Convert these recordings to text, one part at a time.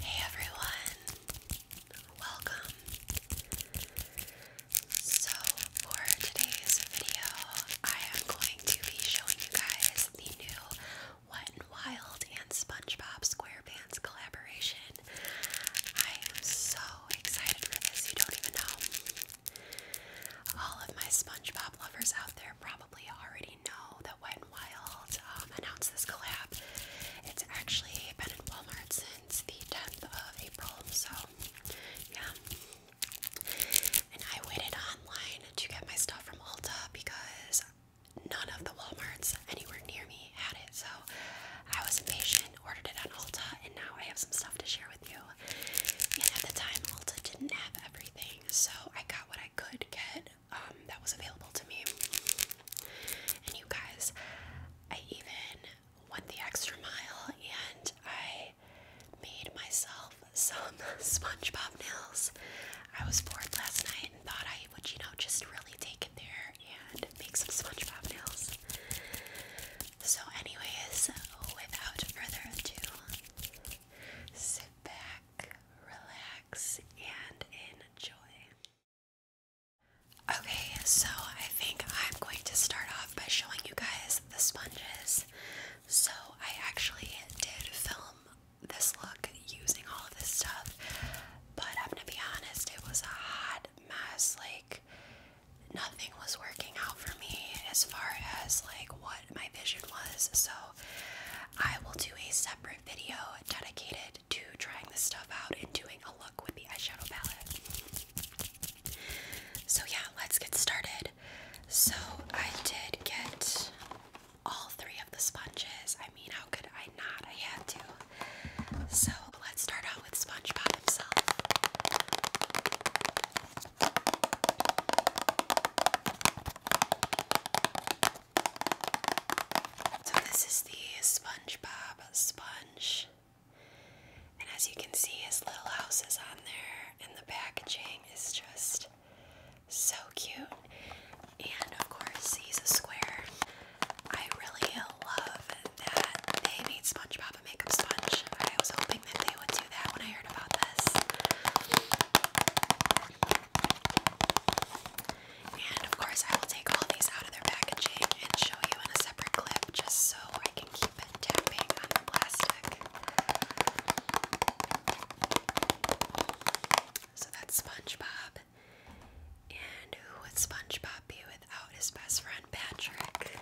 Hey everyone, welcome. So, for today's video, I am going to be showing you guys the new Wet n Wild and SpongeBob SquarePants collaboration. I am so excited for this, you don't even know. All of my SpongeBob lovers out there. Probably probably already know that Wet n Wild um, announced this collab. It's actually been in Walmart since the 10th of April, so yeah. And I waited online to get my stuff from Ulta because none of the Walmarts anywhere near me had it, so I was impatient, ordered it on Ulta, and now I have some stuff to share with you. And at the time, Ulta didn't have everything, so I got what I could get um, that was available to me. And you guys, I even went the extra mile and I made myself some SpongeBob nails. I was bored last night and thought I would, you know, just really take it there and make some SpongeBob nails. So, anyways, without further ado, sit back, relax and enjoy. Okay, so I think I'm going to start off by showing you guys the sponges. So I actually did film this look using all of this stuff, but I'm gonna be honest, it was a hot mess. Like, nothing was working out for me as far as like what my vision was. So I will do a separate video dedicated to trying this stuff out and doing a look with the eyeshadow palette. So yeah, let's get started. So I did get all three of the sponges. I mean, how could I not? I had to. So let's start out with SpongeBob himself. So this is the SpongeBob sponge. And as you can see, his little house is on there, and the packaging is just so cute. And of course, he's a square. I really love that they made SpongeBob a makeup sponge. I was hoping that they would do that when I heard about this. And of course, I will take all these out of their packaging and show you in a separate clip just so I can keep it tapping on the plastic. So that's SpongeBob. And who would SpongeBob be without his best friend Patrick?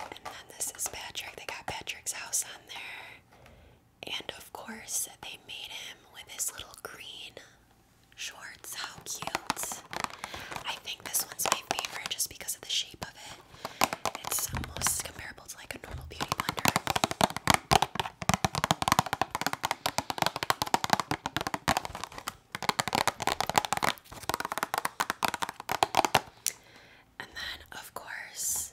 And then this is Patrick. They got Patrick's house on there. And of course, they made him with his little green shorts. How cute. I think this one's my favorite just because of the shape of it. It's almost comparable to like a normal beauty blender. And then, of course,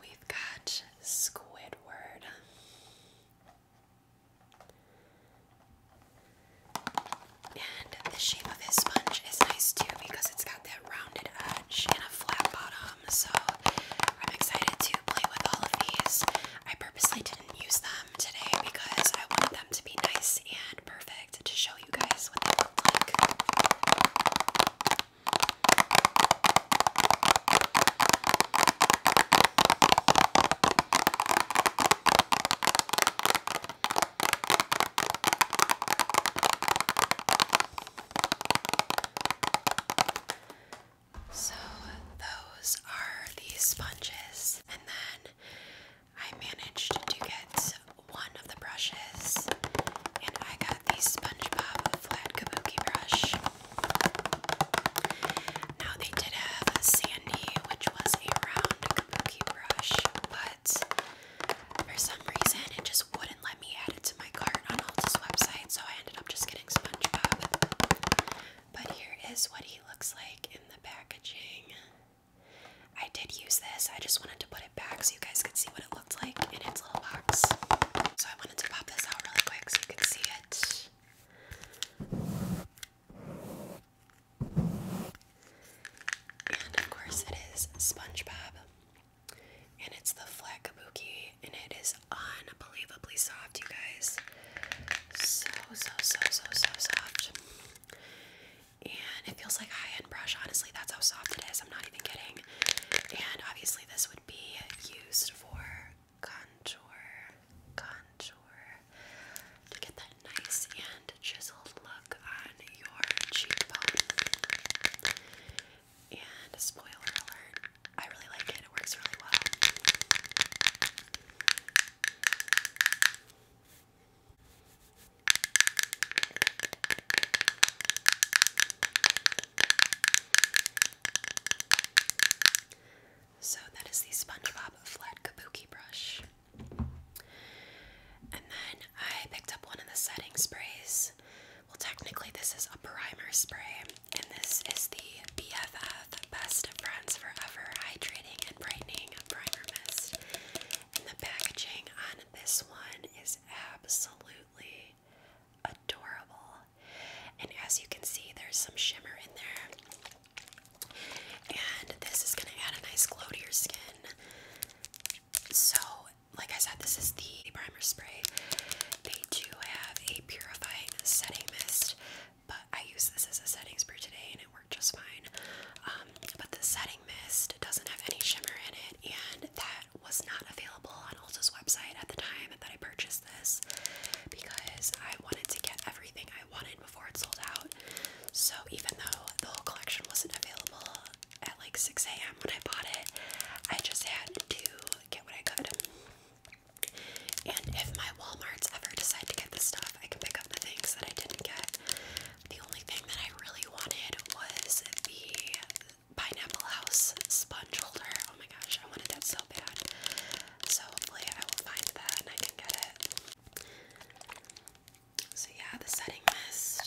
we've got Squidward. And the shape of his sponge is nice too because it's got that rounded edge and a flat bottom. So I'm excited to play with all of these. I purposely didn't use them today because I wanted them to be nice and perfect to show you guys what they look like. So those are the sponges, and then I managed to get one of the brushes, and I got the SpongeBob Flat Kabuki brush. Now, they did have a Sandy, which was a round Kabuki brush, but for some reason it just wouldn't let me add it to my cart on Ulta's website, so I ended up just getting SpongeBob. But here is what he looks like in the packaging. I did use this. I just wanted to put it back so you guys could see what it looked like in its little box. So I wanted to pop this out really quick so you could see it. And of course it is SpongeBob. And it's the flat kabuki and it is unbelievably soft, you guys. So so so so so soft and it feels like high-end brush honestly that's how soft it is I'm not even kidding and obviously this would be used for contour contour to get that nice and chiseled look on your cheekbone and spoiler alert I really like it it works really well so that is the SpongeBob Flat Kabuki Brush. And then I picked up one of the setting sprays. Well, technically, this is a primer spray, and this is the BFF Best Friends Forever Hydrating and brightening primer mist. And the packaging on this one is absolutely adorable. And as you can see, there's some shimmer in there. And this is going to add a nice glow to your skin. So, like I said, this is the primer spray. They do have a purifying setting mist but I used this as a setting spray today and it worked just fine. Um, but the setting mist doesn't have any shimmer in it, and that was not available on Ulta's website at the time that I purchased this because I wanted to get everything I wanted before it sold out. So even though the whole collection wasn't available at like 6 a.m. when I bought it, I just had to get what I could. And if my Walmarts ever decide to get this stuff, I can pick up the things that I didn't get. The only thing that I really wanted was the Pineapple House sponge holder. Oh my gosh, I wanted that so bad. So hopefully I will find that and I can get it. So yeah, the setting mist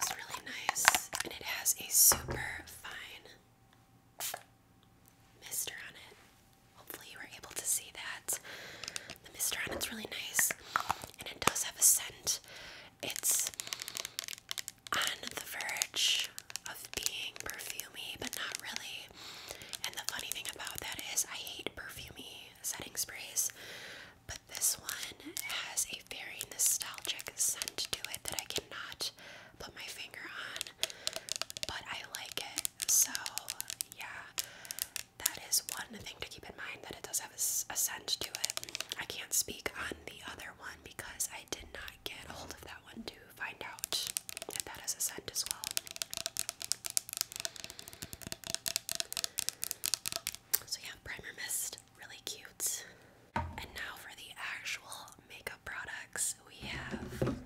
is really nice and it has a super fine mister on it. Hopefully, you were able to see that. The mistron on it's really nice, and it does have a scent. It's on the verge of being perfumey, but not really. And the funny thing about that is, I hate perfumey setting sprays, but this one has a very nostalgic scent to it that I cannot put my finger on but I like it. So, yeah, that is one thing to keep in mind that it does have a, scent to it. I can't speak on the other one because I did not get hold of that one to find out if that has a scent as well. So, yeah, primer mist, really cute. And now for the actual makeup products, we have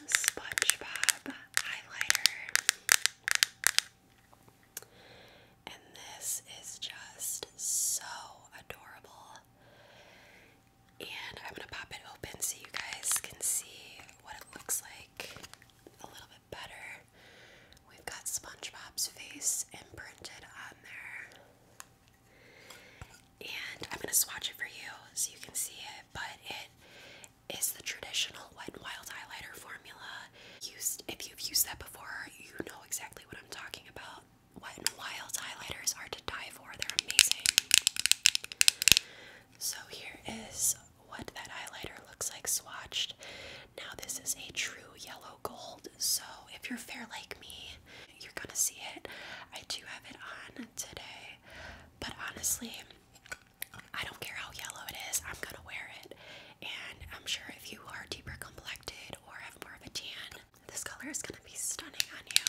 the SpongeBob highlighter. And this is just so adorable. And I'm going to pop it open so you guys can see what it looks like a little bit better. We've got SpongeBob's face imprinted on there. And I'm going to swatch it for you so you can see it, but it is the traditional Wet Wild highlighter formula. if you've used that before, you know exactly what I'm talking about. Wet Wild highlighters are to die for. They're amazing. So here is what that highlighter looks like swatched. Now this is a true yellow gold. So if you're fair like me, you're gonna see it. I do have it on today, but honestly, I don't care how yellow it is, I'm gonna wear it. And I'm sure if you are deeper complected or have more of a tan, this color is gonna be stunning on you.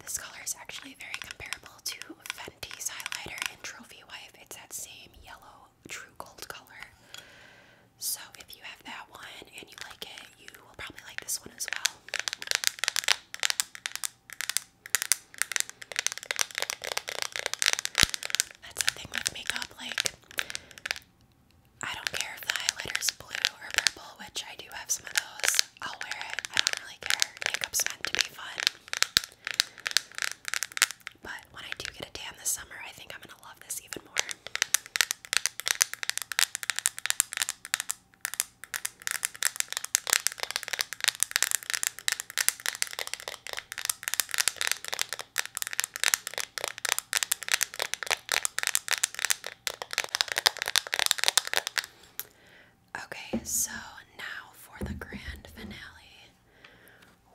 This color is actually very comparable to Fenty's highlighter in Trophy Wife. It's that same yellow true gold color. So if you have that one and you like it, you will probably like this one as well. That's the thing with makeup, like, I don't care if the highlighter's blue or purple, which I do have some of those. I'll wear it. I don't really care. Makeup's meant to be fun. But when I do get a tan this summer, I think I'm gonna love this even more. Okay, so now for the grand finale.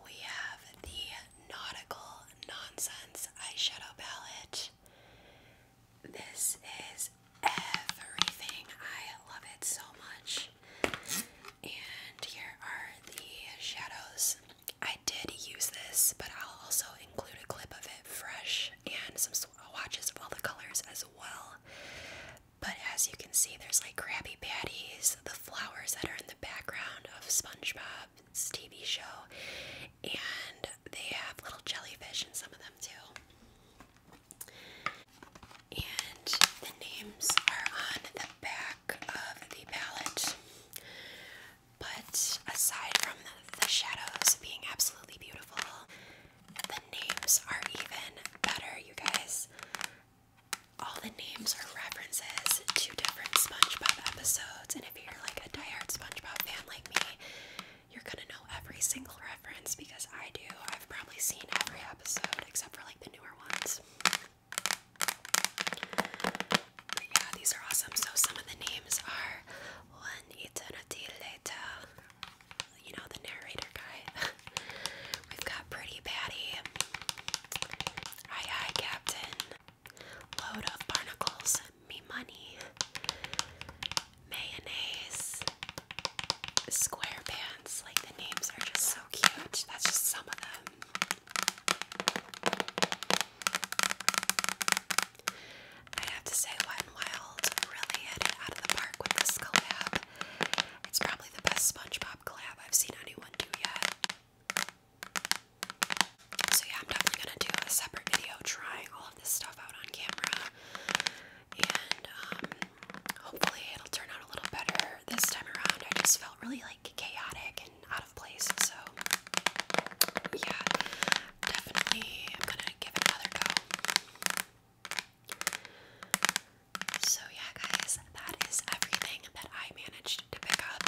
We have the Nautical Nonsense Eyeshadow Palette. This is everything. I love it so much. And here are the shadows. I did use this, but I'll also include a clip of it fresh and some swatches of all the colors as well. But as you can see, there's like Krabby Patties, the flowers that are in the background of SpongeBob's TV show, and they have little jellyfish in some of them too. And the names are on the back of the palette. But aside from the, shadows being absolutely beautiful, the names are even better, you guys. All the names are references to different SpongeBob episodes, and if you're like a die-hard SpongeBob fan like me, you're gonna know every single reference because I do. I've probably seen every episode except for like the newer ones. yeah, these are awesome. So some of the names are One Eternity you know, the narrator guy. We've got Pretty Patty, Aye Captain, Load of barnacles, me money, mayonnaise, square Like the names are just so cute. That's just some of them. I have to say, Wet n Wild really hit it out of the park with this collab. It's probably the best SpongeBob collab I've seen anyone do yet. So yeah, I'm definitely gonna do a separate video trying all of this stuff out on camera, and um, hopefully it'll turn out a little better this time around. I just felt really like chaotic and out of place, so yeah, definitely I'm gonna give it another go. So yeah, guys, that is everything that I managed to pick up.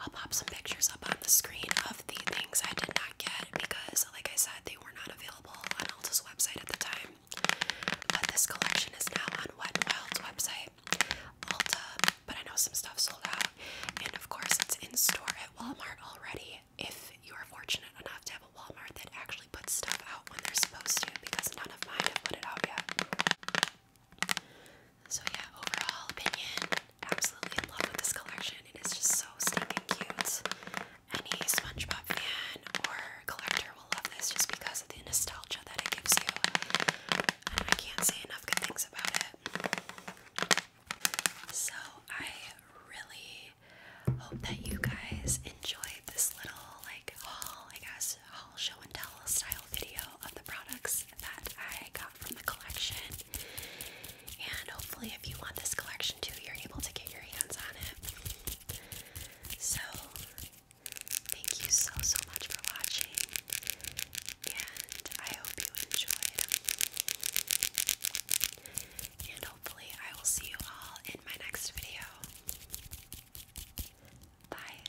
I'll pop some pictures up on the screen of the things I did not get because, like I said, they were not available on Ulta's website at the time. But this collection is now on Wet n Wild's website, Ulta, but I know some stuff sold out. And of course, it's in store at Walmart already if you are fortunate enough to have a Walmart that actually puts stuff out when they're supposed to because none of mine have put it out yet. So yeah, overall opinion, absolutely in love with this collection. It is just so stinking cute. Any SpongeBob fan or collector will love this just because of the nostalgia that it gives you. And I can't say enough good things about it. So I really hope that you guys enjoyed this little like haul, I guess, haul show and tell style video of the products that I got from the collection. And hopefully, if you want this collection too, you're able to get your hands on it. So, thank you so, so much for watching, and I hope you enjoyed. And hopefully, I will see you all in my next video. Bye.